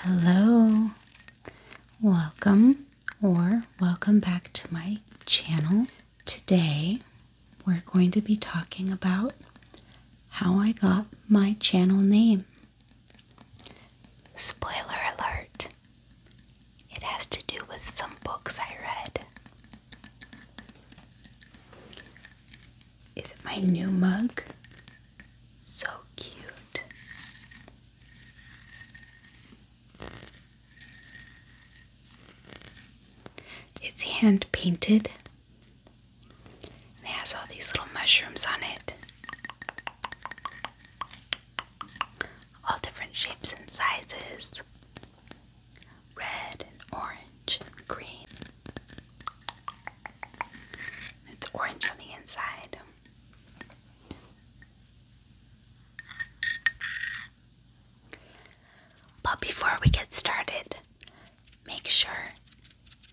Hello, welcome or welcome back to my channel. Today we're going to be talking about how I got my channel name. Spoiler alert, it has to do with some books I read. Is it my new mug? So cute. It's hand painted. it has all these little mushrooms on it. All different shapes and sizes. Red and orange green. It's orange on the inside. But before we get started, make sure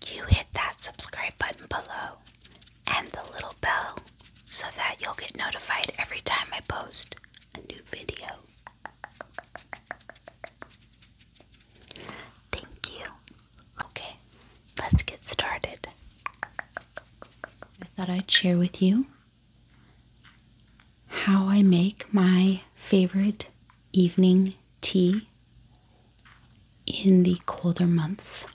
you hit that subscribe button below and the little bell so that you'll get notified every time I post a new video. Thank you. Okay, let's get started. I thought I'd share with you how I make my favorite evening tea in the colder months.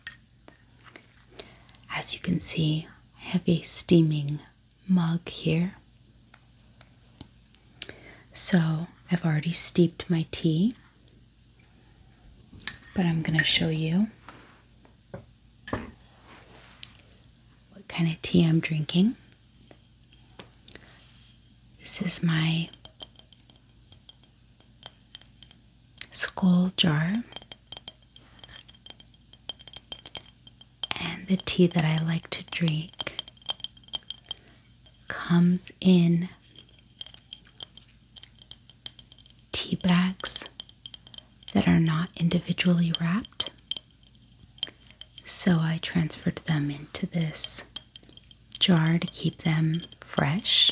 As you can see, heavy steaming mug here. So I've already steeped my tea, but I'm going to show you what kind of tea I'm drinking. This is my skull jar. And the tea that I like to drink comes in tea bags that are not individually wrapped. So I transferred them into this jar to keep them fresh.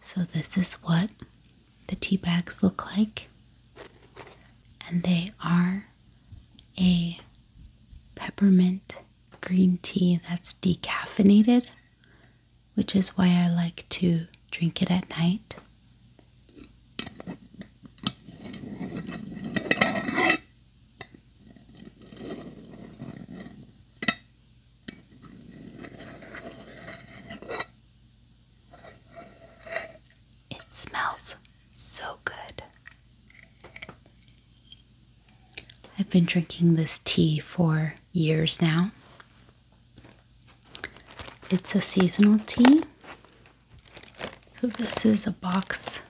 So, this is what the tea bags look like, and they are a peppermint green tea that's decaffeinated, which is why I like to drink it at night. It smells so good. I've been drinking this tea for years now. It's a seasonal tea this is a box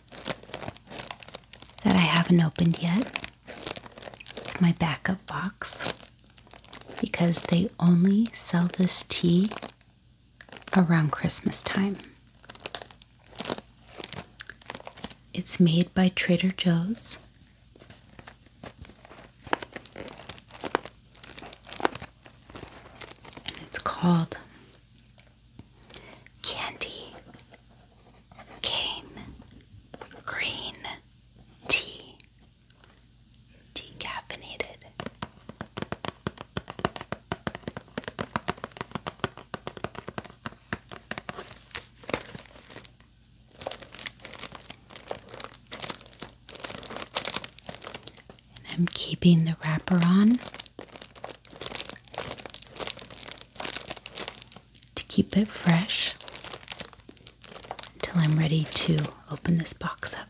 that I haven't opened yet. It's my backup box because they only sell this tea around Christmas time. It's made by Trader Joe's. It's called Candy Cane Green Tea Decaffeinated. And I'm keeping the wrapper on to keep it fresh until I'm ready to open this box up.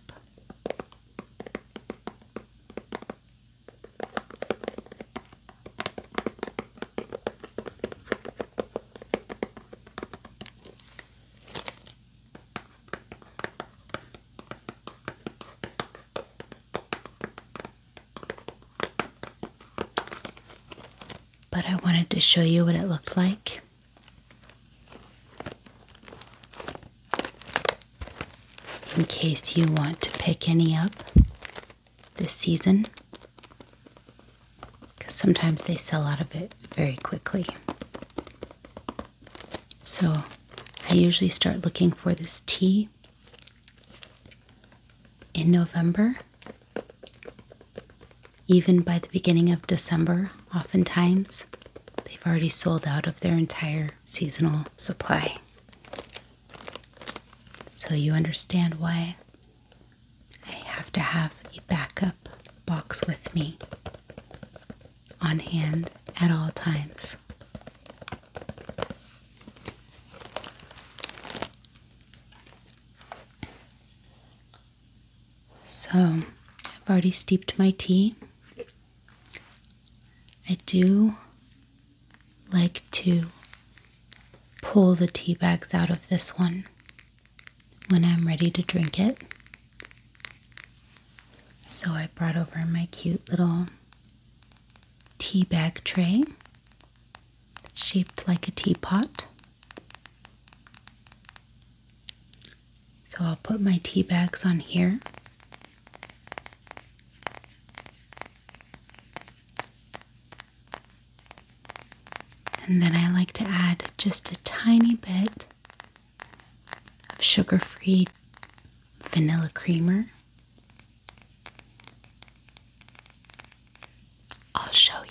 But I wanted to show you what it looked like. In case you want to pick any up this season, because sometimes they sell out of it very quickly. So I usually start looking for this tea in November, even by the beginning of December, oftentimes they've already sold out of their entire seasonal supply. So you understand why I have to have a backup box with me on hand at all times. So, I've already steeped my tea. I do like to pull the tea bags out of this one when I'm ready to drink it. So I brought over my cute little tea bag tray shaped like a teapot. So I'll put my tea bags on here. And then I like to add just a tiny bit of sugar free vanilla creamer. I'll show you.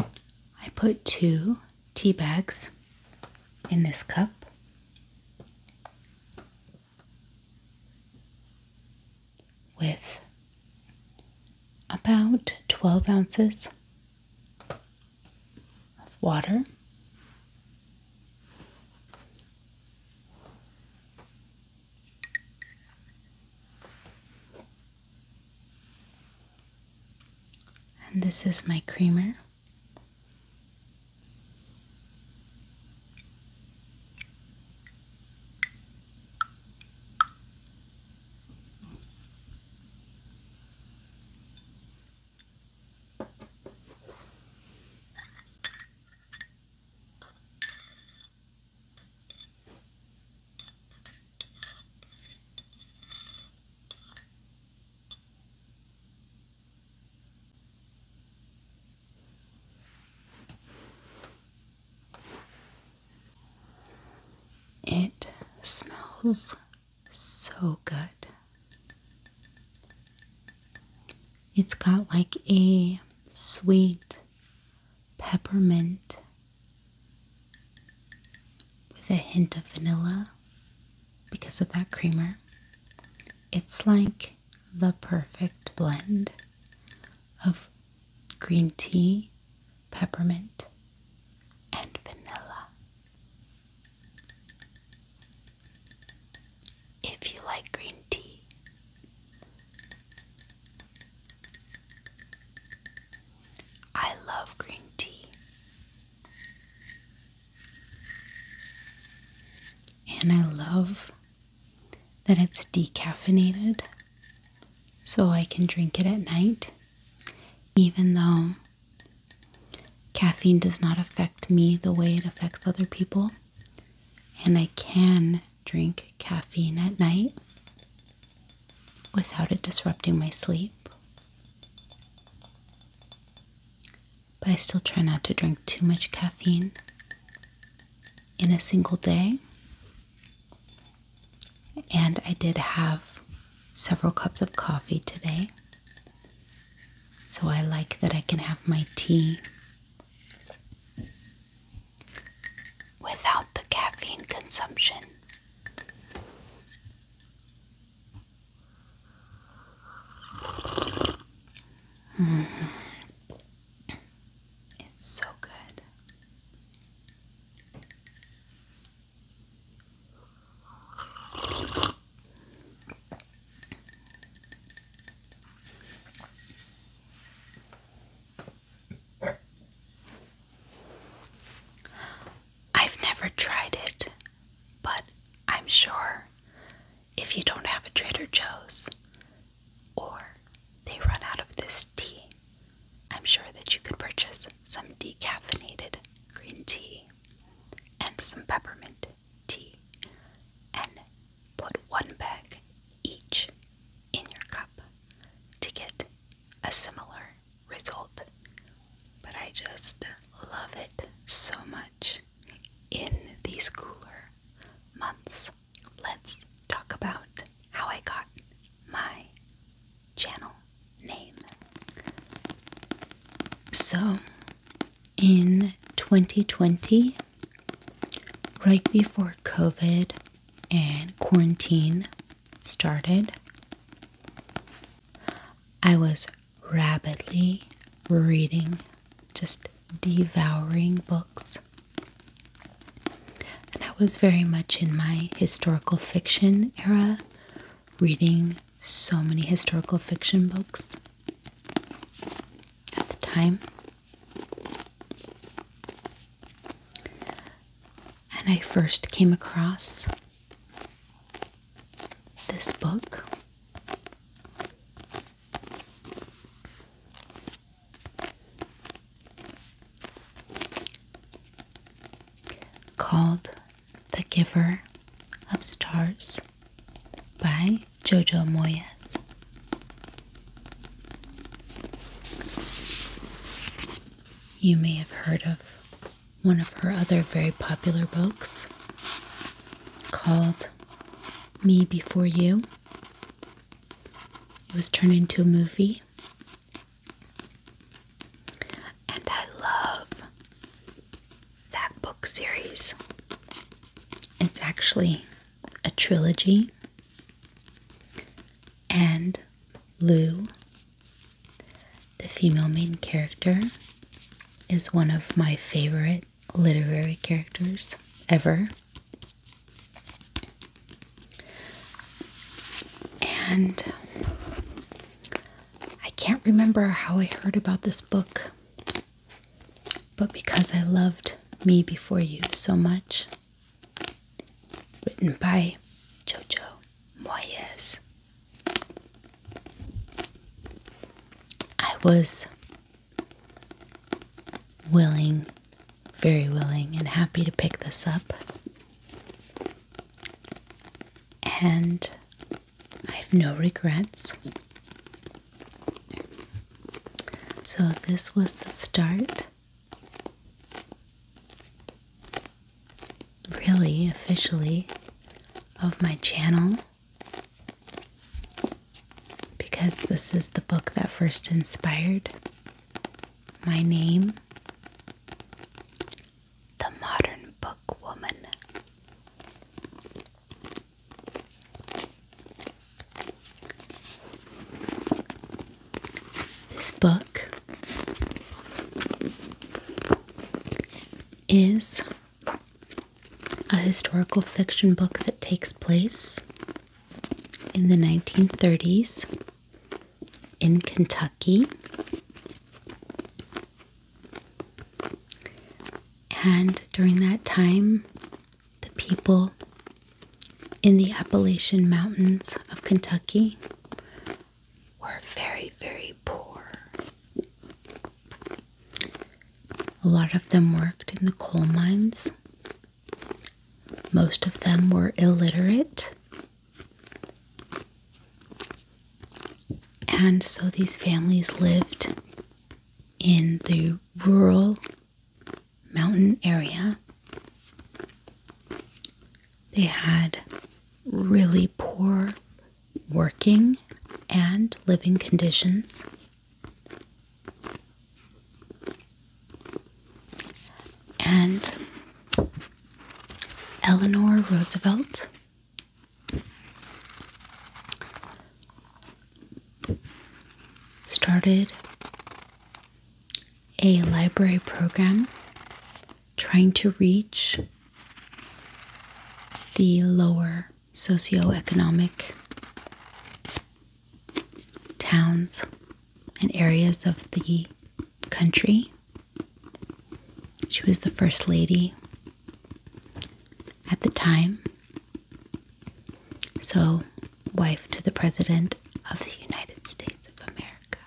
I put two tea bags in this cup. With about 12 ounces of water, and this is my creamer. It smells so good. It's got like a sweet peppermint with a hint of vanilla because of that creamer. It's like the perfect blend of green tea, peppermint, and vanilla. If you like green tea, I love green tea. And I love that it's decaffeinated so I can drink it at night, even though caffeine does not affect me the way it affects other people. And I can drink caffeine at night without it disrupting my sleep. But I still try not to drink too much caffeine in a single day. And I did have several cups of coffee today. So I like that I can have my tea without the caffeine consumption. Mm. It's so good. I've never tried it, but I'm sure if you don't have a Trader Joe's or they run out of this tea, I'm sure that you could purchase some decaffeinated green tea and some peppermint tea and put one bag each in your cup to get a similar result. But I just love it so much. In these cooler months, let's talk about how I got my channel name. So, in 2020, right before COVID and quarantine started, I was rapidly reading, just devouring books. And I was very much in my historical fiction era, reading so many historical fiction books at the time and I first came across this book. Called The Giver of Stars by Jojo Moyes. You may have heard of one of her other very popular books called Me Before You. It was turned into a movie. And I love that book series. It's actually a trilogy. And Lou the female main character is one of my favorite literary characters ever. And I can't remember how I heard about this book, but because I loved Me Before You so much, Written by Jojo Moyes. I was willing, very willing, and happy to pick this up. And I have no regrets. So, this was the start really officially of my channel because this is the book that first inspired my name The Modern Book Woman. This book is a historical fiction book that takes place in the 1930s in Kentucky. And during that time, the people in the Appalachian Mountains of Kentucky were very, very poor. A lot of them worked in the coal mines. Most of them were illiterate. And so these families lived in the rural mountain area they had really poor working and living conditions. And Eleanor Roosevelt started a library program trying to reach the lower socioeconomic towns and areas of the country. She was the first lady at the time, so wife to the President of the United States of America.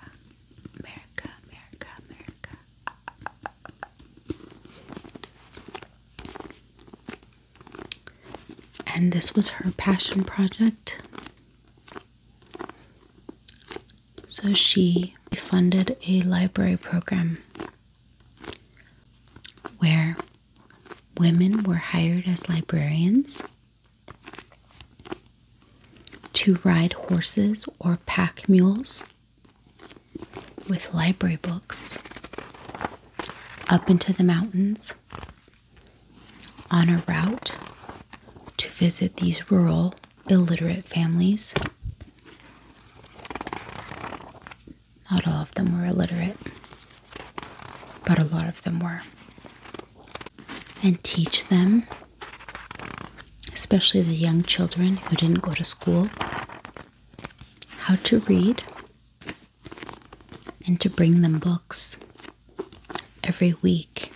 America, America, America. And this was her passion project. So she funded a library program where women were hired as librarians to ride horses or pack mules with library books up into the mountains on a route to visit these rural illiterate families. Not all of them were illiterate, but a lot of them were. And teach them especially the young children who didn't go to school, how to read and to bring them books every week.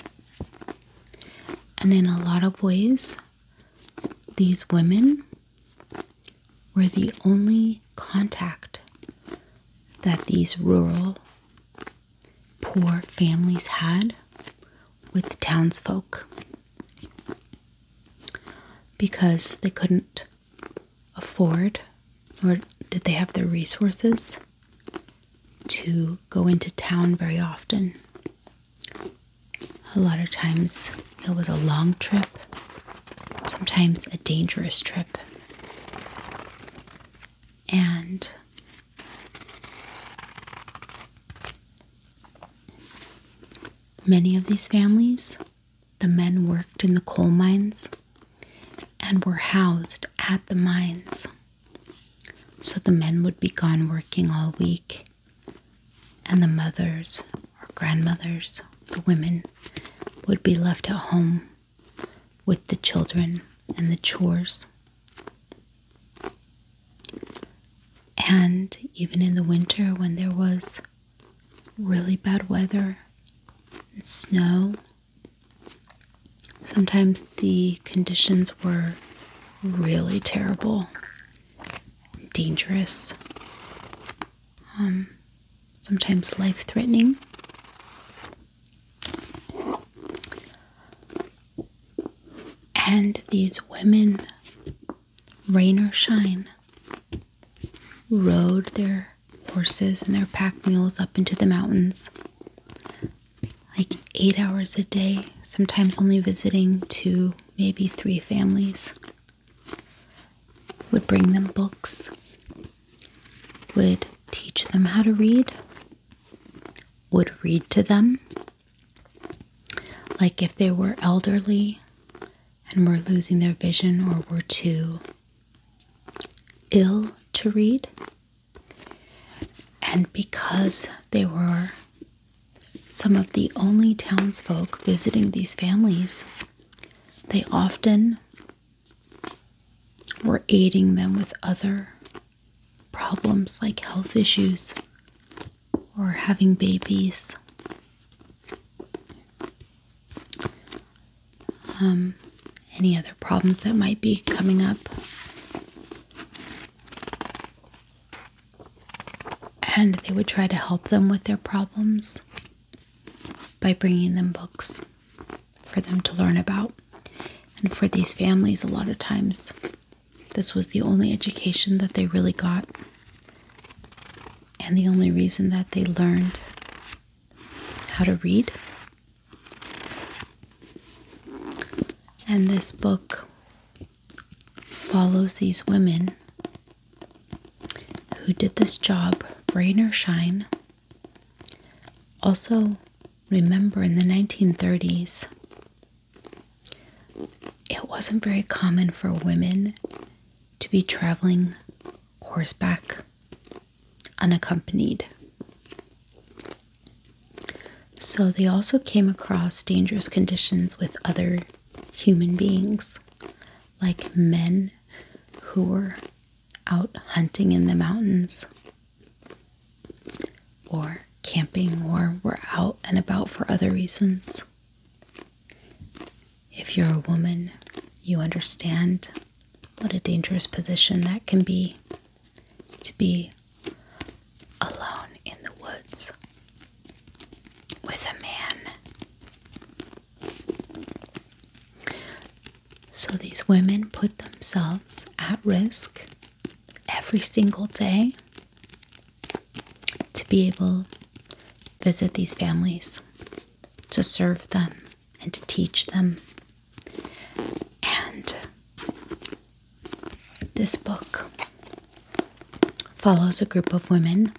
And in a lot of ways, these women were the only contact that these rural poor families had with the townsfolk because they couldn't afford or did they have the resources to go into town very often. A lot of times it was a long trip, sometimes a dangerous trip and many of these families, the men worked in the coal mines and were housed at the mines. So the men would be gone working all week, and the mothers or grandmothers, the women, would be left at home with the children and the chores and even in the winter, when there was really bad weather and snow, sometimes the conditions were really terrible, dangerous, um, sometimes life threatening. And these women, rain or shine, rode their horses and their pack mules up into the mountains like eight hours a day, sometimes only visiting to maybe three families. Would bring them books, would teach them how to read, would read to them. Like if they were elderly and were losing their vision or were too ill to read. And because they were some of the only townsfolk visiting these families, they often were aiding them with other problems like health issues or having babies. Um, any other problems that might be coming up. And they would try to help them with their problems by bringing them books for them to learn about. And for these families, a lot of times, this was the only education that they really got, and the only reason that they learned how to read. And this book follows these women who did this job, rain or shine. Also, remember in the 1930s, it wasn't very common for women to be traveling horseback unaccompanied. So they also came across dangerous conditions with other human beings, like men who were out hunting in the mountains or camping, or we're out and about for other reasons. If you're a woman, you understand what a dangerous position that can be to be alone in the woods with a man. So these women put themselves at risk every single day to be able to visit these families, to serve them, and to teach them. And this book follows a group of women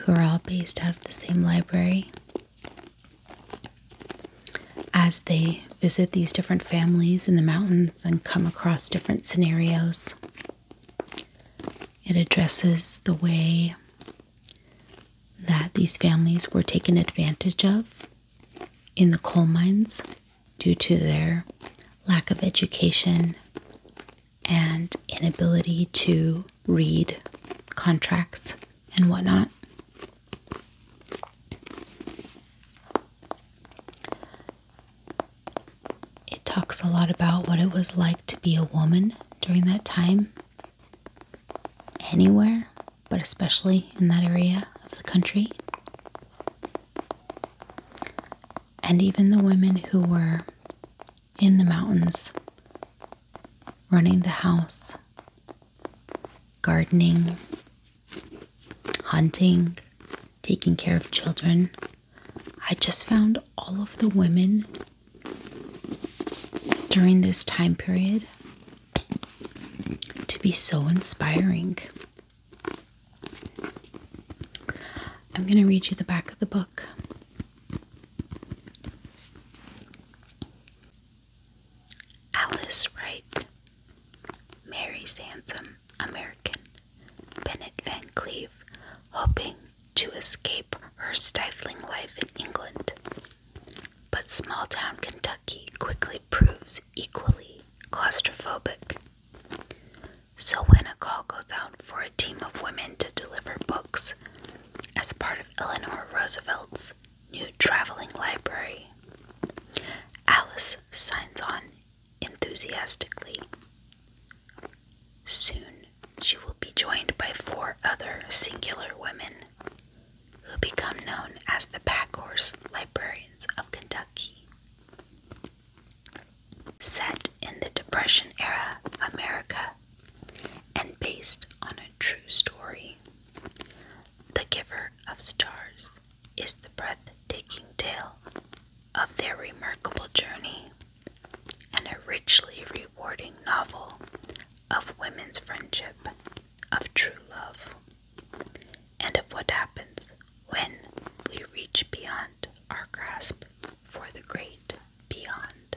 who are all based out of the same library as they visit these different families in the mountains and come across different scenarios. It addresses the way that these families were taken advantage of in the coal mines due to their lack of education and inability to read contracts and whatnot. It talks a lot about what it was like to be a woman during that time, anywhere, but especially in that area of the country. And even the women who were in the mountains running the house, gardening, hunting, taking care of children. I just found all of the women during this time period to be so inspiring. I'm going to read you the back of the book. Alice Wright, Mary Sansom, American, Bennett Van Cleve, hoping to escape her stifling life in England. But small town Kentucky quickly proves equally claustrophobic. So, when a call goes out for a team of women to deliver books as part of Eleanor Roosevelt's new traveling library. Alice signs on enthusiastically. Soon she will be joined by four other singular women who become known as the Horse Librarians of Kentucky. Set in the Depression era America and based on a true story, the giver of stars, is the breathtaking tale of their remarkable journey and a richly rewarding novel of women's friendship, of true love, and of what happens when we reach beyond our grasp for the great beyond.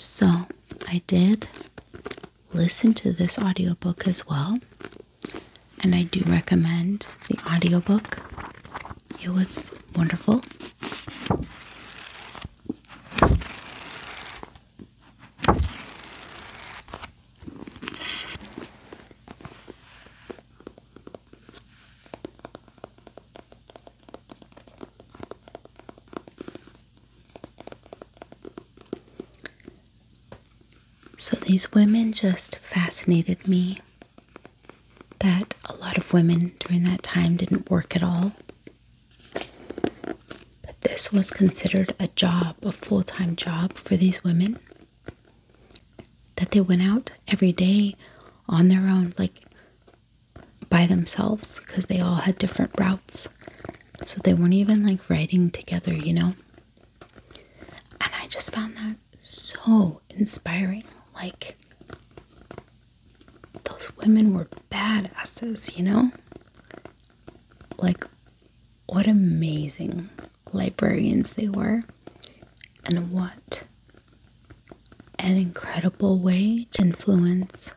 So, I did listen to this audiobook as well, and I do recommend the audiobook. It was wonderful. So these women just fascinated me. That a lot of women during that time didn't work at all. But this was considered a job, a full time job for these women. That they went out every day on their own, like by themselves, because they all had different routes. So they weren't even like riding together, you know? And I just found that so inspiring. Like, those women were badasses, you know? Like, what amazing librarians they were, and what an incredible way to influence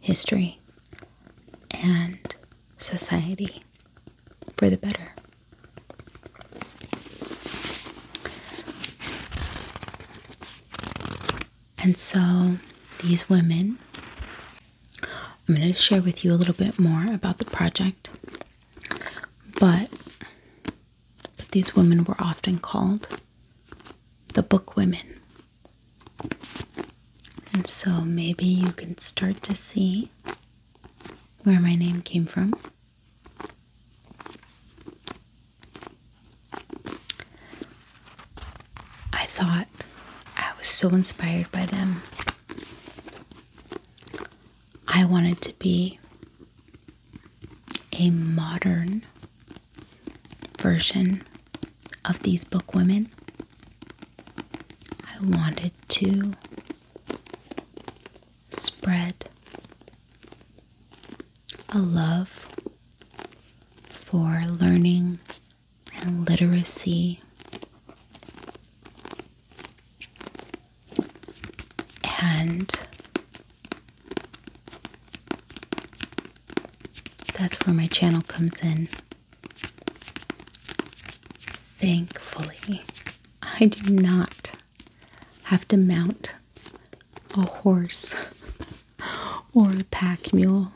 history and society for the better. And so these women, I'm going to share with you a little bit more about the project, but, these women were often called the book women. And so maybe you can start to see where my name came from. I thought I was so inspired by them. I wanted to be a modern version of these book women. I wanted to spread a love for learning and literacy and that's where my channel comes in. Thankfully, I do not have to mount a horse or a pack mule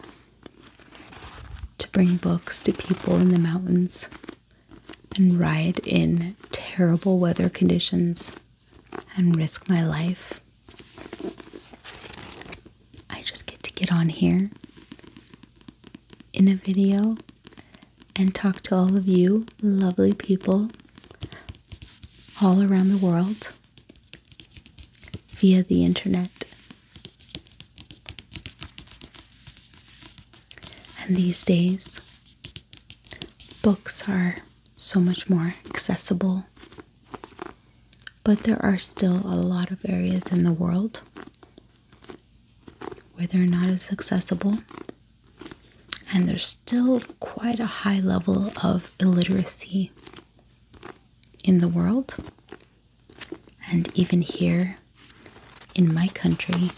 to bring books to people in the mountains and ride in terrible weather conditions and risk my life. I just get to get on here in a video and talk to all of you lovely people all around the world via the internet. And these days, books are so much more accessible, but there are still a lot of areas in the world where they're not as accessible. And there's still quite a high level of illiteracy in the world and even here in my country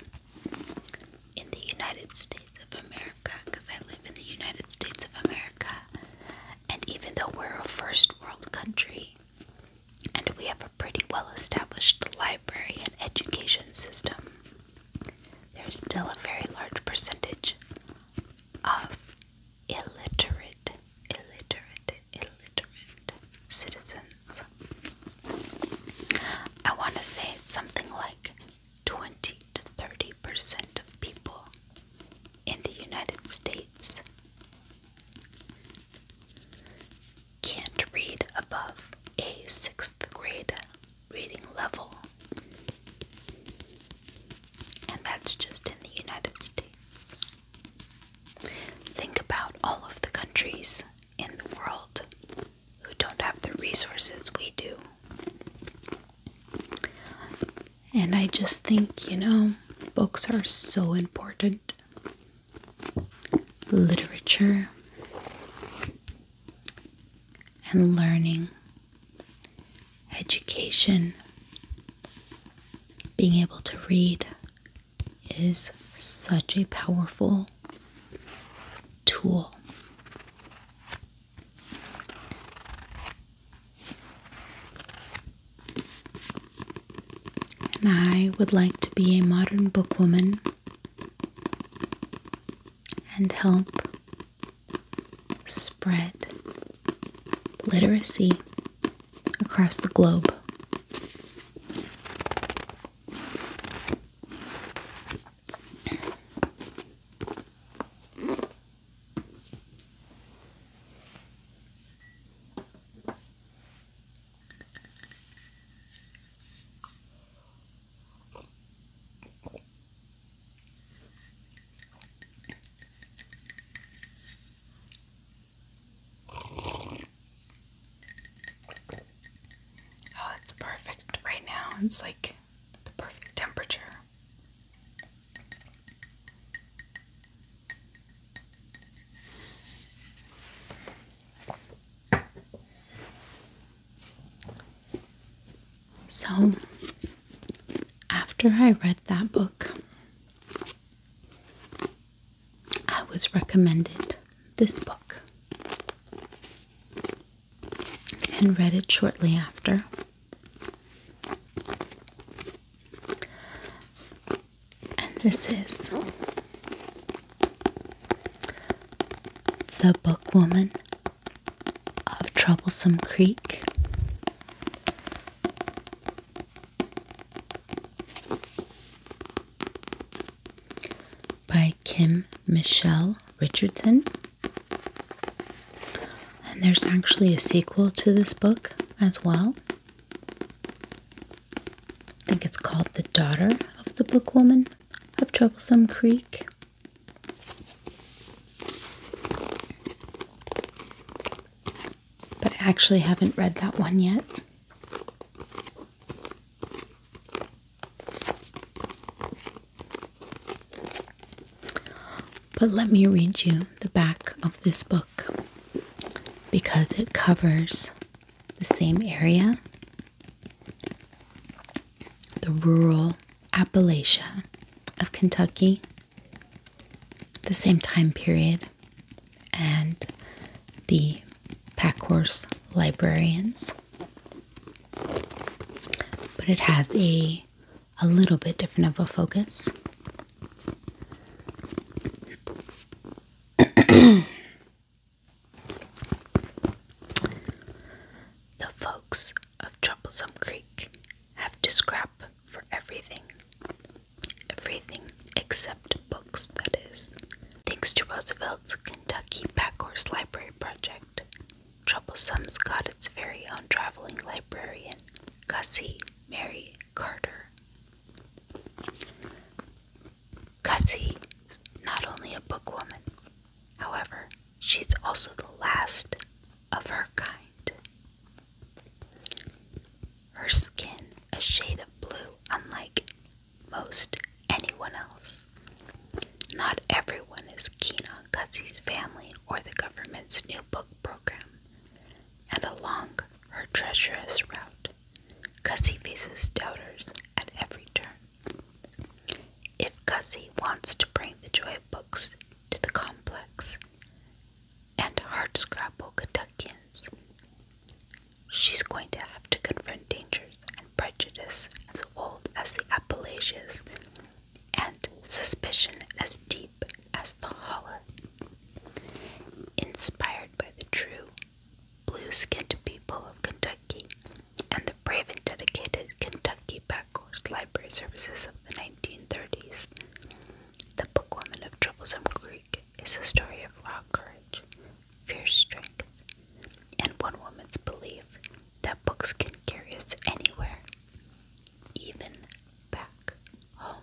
in the United States of America because I live in the United States of America and even though we're a first world country and we have a pretty well established library and education system there's still a very large percentage of illiterate, illiterate, illiterate citizens. I want to say it's something like 20 to 30 percent of people in the United States can't read above a sixth grade reading level. And that's just in the United States. Think about all of the countries in the world who don't have the resources we do. And I just think, you know, books are so important. Literature and learning education, being able to read is such a powerful tool. And I would like to be a modern bookwoman and help spread literacy across the globe. Oh, it's perfect right now. It's like the perfect temperature. So, after I read that book, I was recommended this book and read it shortly after. And this is The Book Woman of Troublesome Creek by Kim Michelle Richardson. And there's actually a sequel to this book as well. I think it's called The Daughter of the Book Woman of Troublesome Creek but I actually haven't read that one yet. But let me read you the back of this book because it covers the same area the rural Appalachia of Kentucky the same time period and the Packhorse librarians but it has a a little bit different of a focus the folks of troublesome creek have to scrap for everything. Everything except books, that is. Thanks to Roosevelt's Kentucky Packhorse Library Project, Troublesome's got its very own traveling librarian, Gussie Mary Carter. Gussie is not only a bookwoman, however, she's also the last of her kind. Her skin, a shade of blue, unlike most anyone else. Not everyone is keen on Guzzi's family or the government's new book program. And along her treacherous route, Gussie faces doubters at every turn. If Gussie wants to bring the joy of books to the complex, and hard scrabble Kentuckians. She's going to have to confront dangers and prejudice as old as the Appalachians and suspicion as deep as the holler. Inspired by the true blue skinned people of Kentucky and the brave and dedicated Kentucky backwoods Library Services of the 1930s, the Book Woman of Troublesome Creek is a story of raw courage, fierce strength, and one woman's belief that books can carry us anywhere, even back home.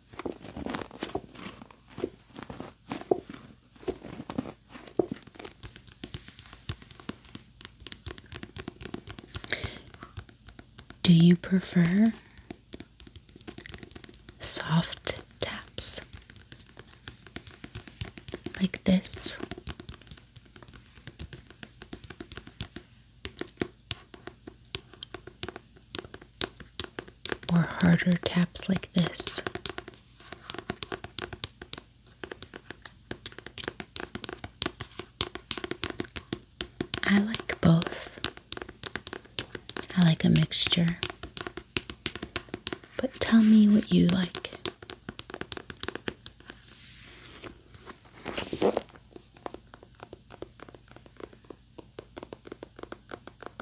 Do you prefer soft taps like this? or harder taps like this. I like both. I like a mixture. But tell me what you like.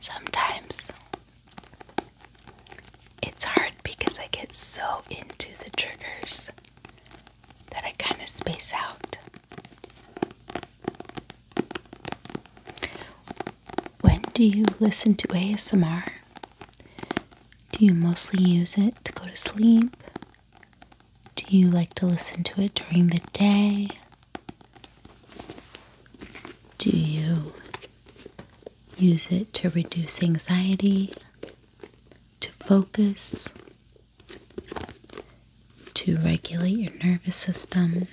Sometimes it's hard because I get so into the triggers that I kind of space out. When do you listen to ASMR? Do you mostly use it to go to sleep? Do you like to listen to it during the day? Do you use it to reduce anxiety, to focus, to regulate your nervous system.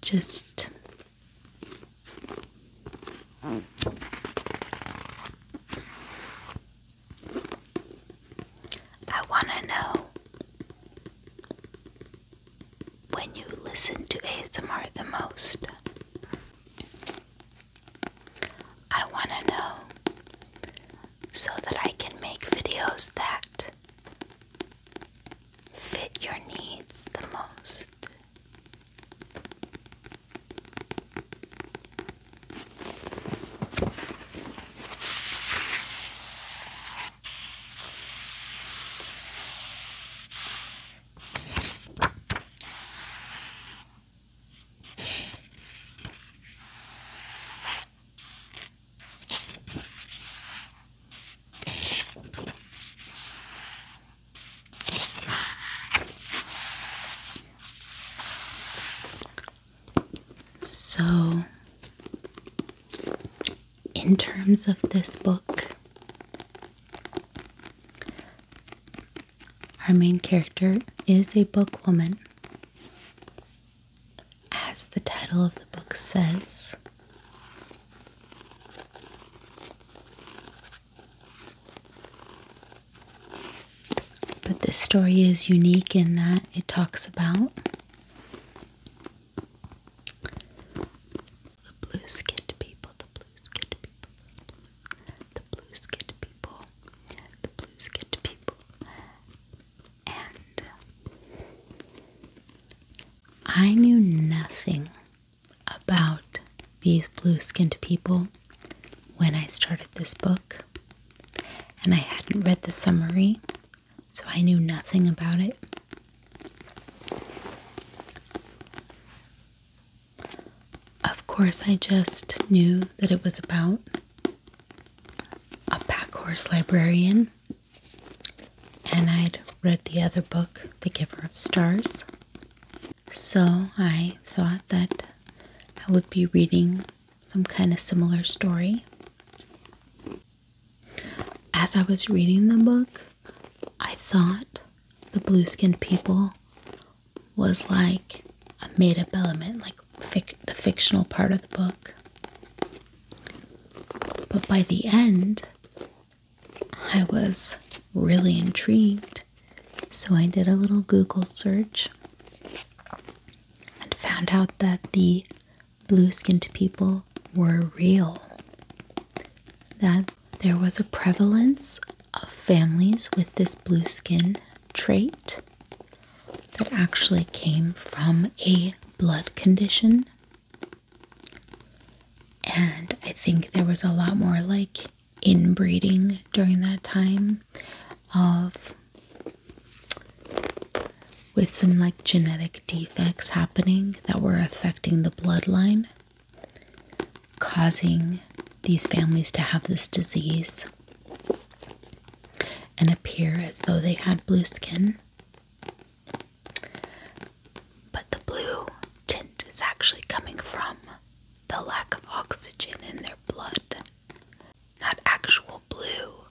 Just I want to know when you listen to ASMR the most. I want to know so that I can make videos that fit your needs the most. So, in terms of this book, our main character is a book woman. As the title of the book says, but this story is unique in that it talks about the blue skinned people, blue skinned people, the blue skinned people, the blue skinned people, and I knew nothing about these blue skinned people when I started this book, and I hadn't read the summary, so I knew nothing about it. Of course, I just knew that it was about a packhorse librarian, and I'd read the other book, The Giver of Stars. So I thought that I would be reading some kind of similar story. As I was reading the book, I thought the blue skinned people was like a made up element, like the fictional part of the book. But by the end, I was really intrigued, so I did a little Google search and found out that the blue skinned people were real. That there was a prevalence of families with this blue skin trait that actually came from a blood condition. And I think there was a lot more like inbreeding during that time of with some like genetic defects happening that were affecting the bloodline causing these families to have this disease and appear as though they had blue skin. But the blue tint is actually coming from the lack of oxygen in their blood, not actual blue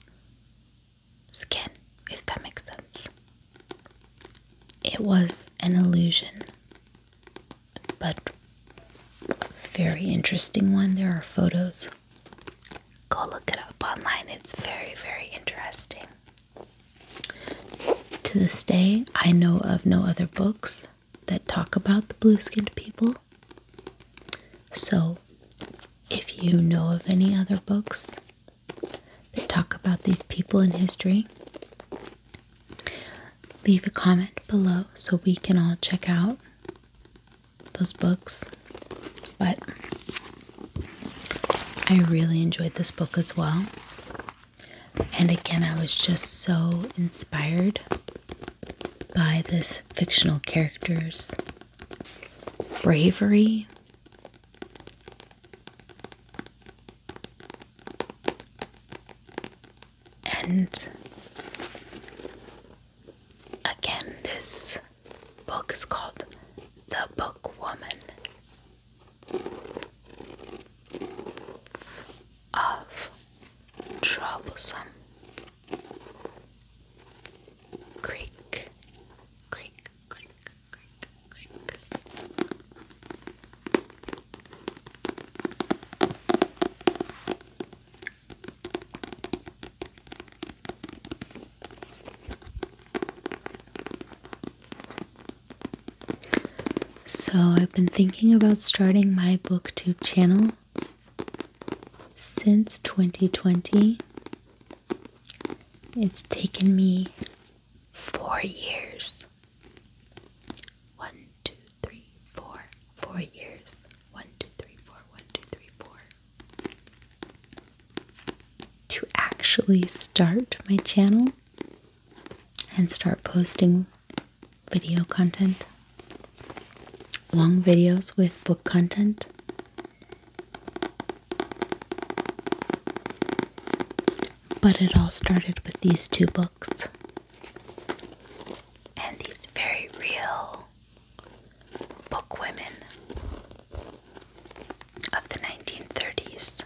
skin, if that makes sense. It was an illusion but very interesting one. There are photos. Go look it up online. It's very, very interesting. To this day, I know of no other books that talk about the blue skinned people. So, if you know of any other books that talk about these people in history, Leave a comment below so we can all check out those books. But I really enjoyed this book as well. And again, I was just so inspired by this fictional character's bravery. And again, this book is called The Book Woman of Troublesome Creek, Creek, Creek, Creek, Creek. So, I've been thinking about starting my booktube channel since 2020. It's taken me four years. One, two, three, four, four years. One, two, three, four, one, two, three, four. To actually start my channel and start posting video content, long videos with book content. But it all started with these two books and these very real book of the 1930s.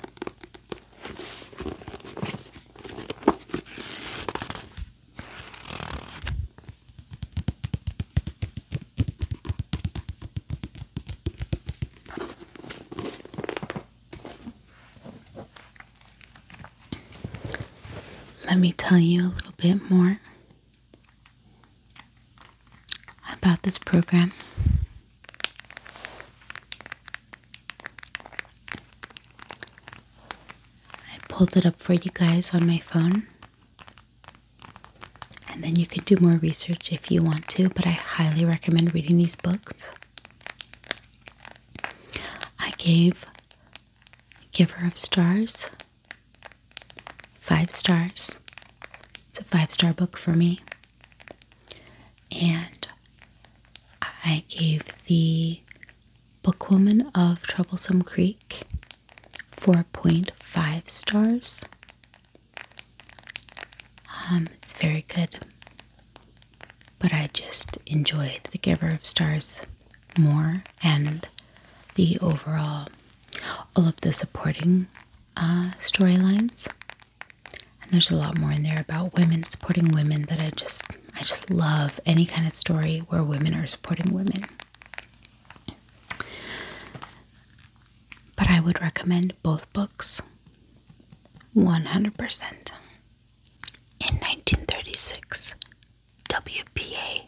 Let me tell you a little bit more about this program. I pulled it up for you guys on my phone. And then you can do more research if you want to, but I highly recommend reading these books. I gave giver of stars. Five stars. It's a five star book for me. And I gave the Bookwoman of Troublesome Creek 4.5 stars. Um, it's very good. But I just enjoyed The Giver of Stars more and the overall, all of the supporting uh, storylines. And there's a lot more in there about women supporting women that I just, I just love any kind of story where women are supporting women. But I would recommend both books 100%. In 1936, WPA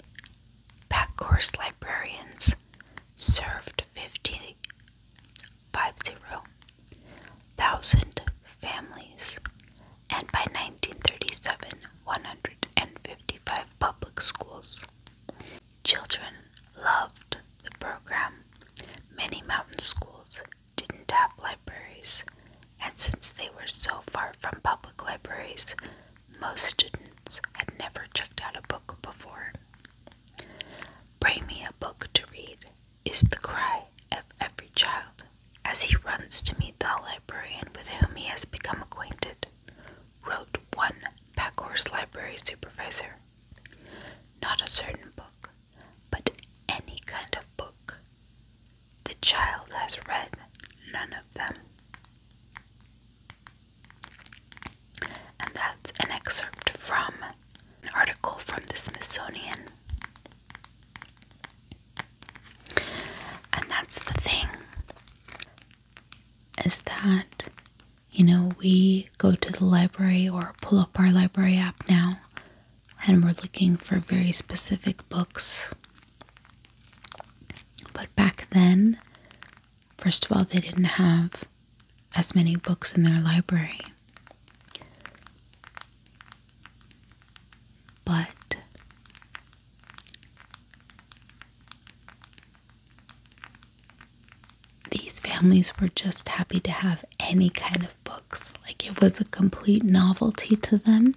Packhorse librarians served 55,000 families, and by 1937, 155 public schools. Children loved the program. Many mountain schools didn't have libraries, and since they were so far from public libraries, most students had never checked out a book before. Bring me a book to read is the cry of every child as he runs to meet the librarian with whom he has become acquainted, wrote one Packhorse Library supervisor. Not a certain book, but any kind of book. The child has read none of them. And that's an excerpt from an article from the Smithsonian. And that's the thing is that, you know, we go to the library or pull up our library app now and we're looking for very specific books. But back then, first of all, they didn't have as many books in their library. But these families were just happy to have any kind of books. Like it was a complete novelty to them.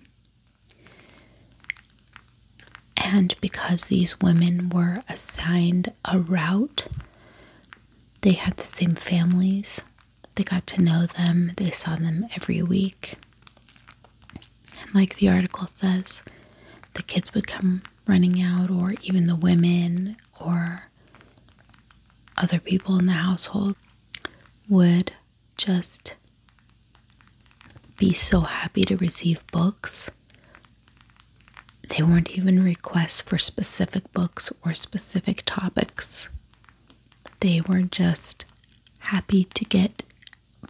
And because these women were assigned a route, they had the same families. They got to know them, they saw them every week. And like the article says, the kids would come running out, or even the women or other people in the household would just be so happy to receive books. They weren't even requests for specific books or specific topics. They were just happy to get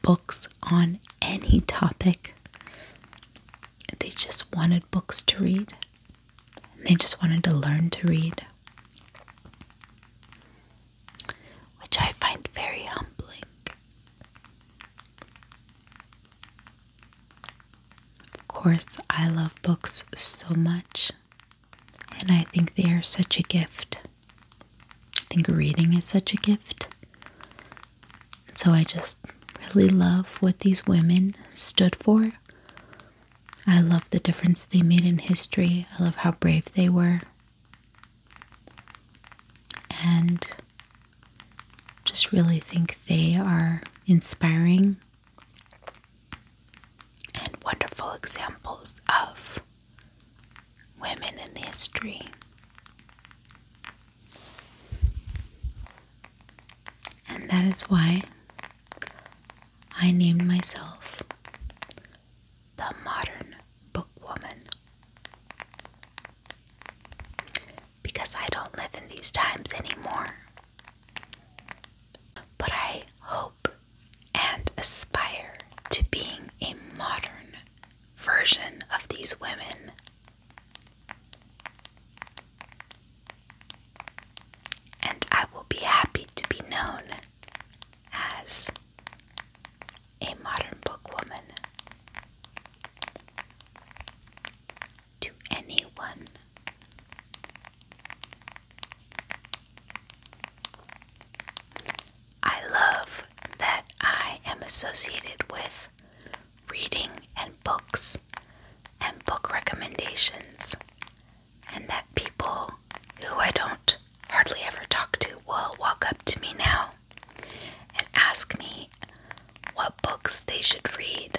books on any topic. They just wanted books to read. They just wanted to learn to read which I find very humbling. Of course, I love books so much, and I think they are such a gift. I think reading is such a gift. So I just really love what these women stood for I love the difference they made in history. I love how brave they were. And just really think they are inspiring and wonderful examples of women in history. And that is why I named myself the Modern Bookwoman. Because I don't live in these times anymore. But I hope and aspire to being a modern version of these women. And I will be happy to be known as a modern book woman to anyone. I love that I am associated with reading and books and book recommendations and that people who I don't hardly ever talk to will walk up to me now and ask me what books they should read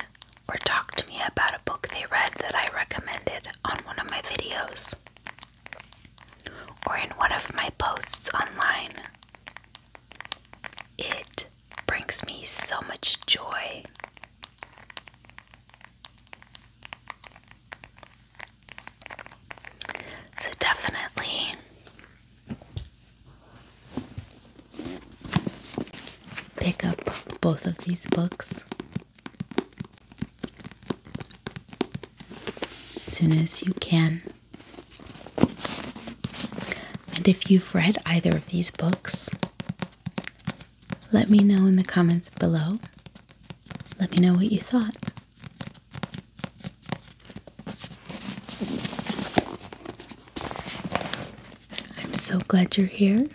or talk to me about a book they read that I recommended on one of my videos or in one of my posts online. It brings me so much joy. So definitely pick up both of these books as soon as you can. And if you've read either of these books, let me know in the comments below. Let me know what you thought. I'm so glad you're here.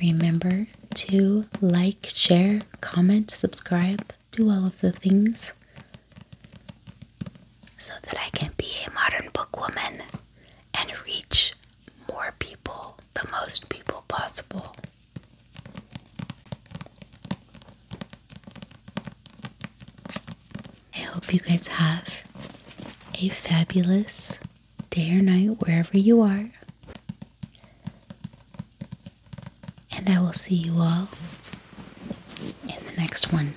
Remember to like, share, comment, subscribe, do all of the things so that I can be a modern book woman and reach more people, the most people possible. I hope you guys have a fabulous day or night wherever you are. And I will see you all in the next one.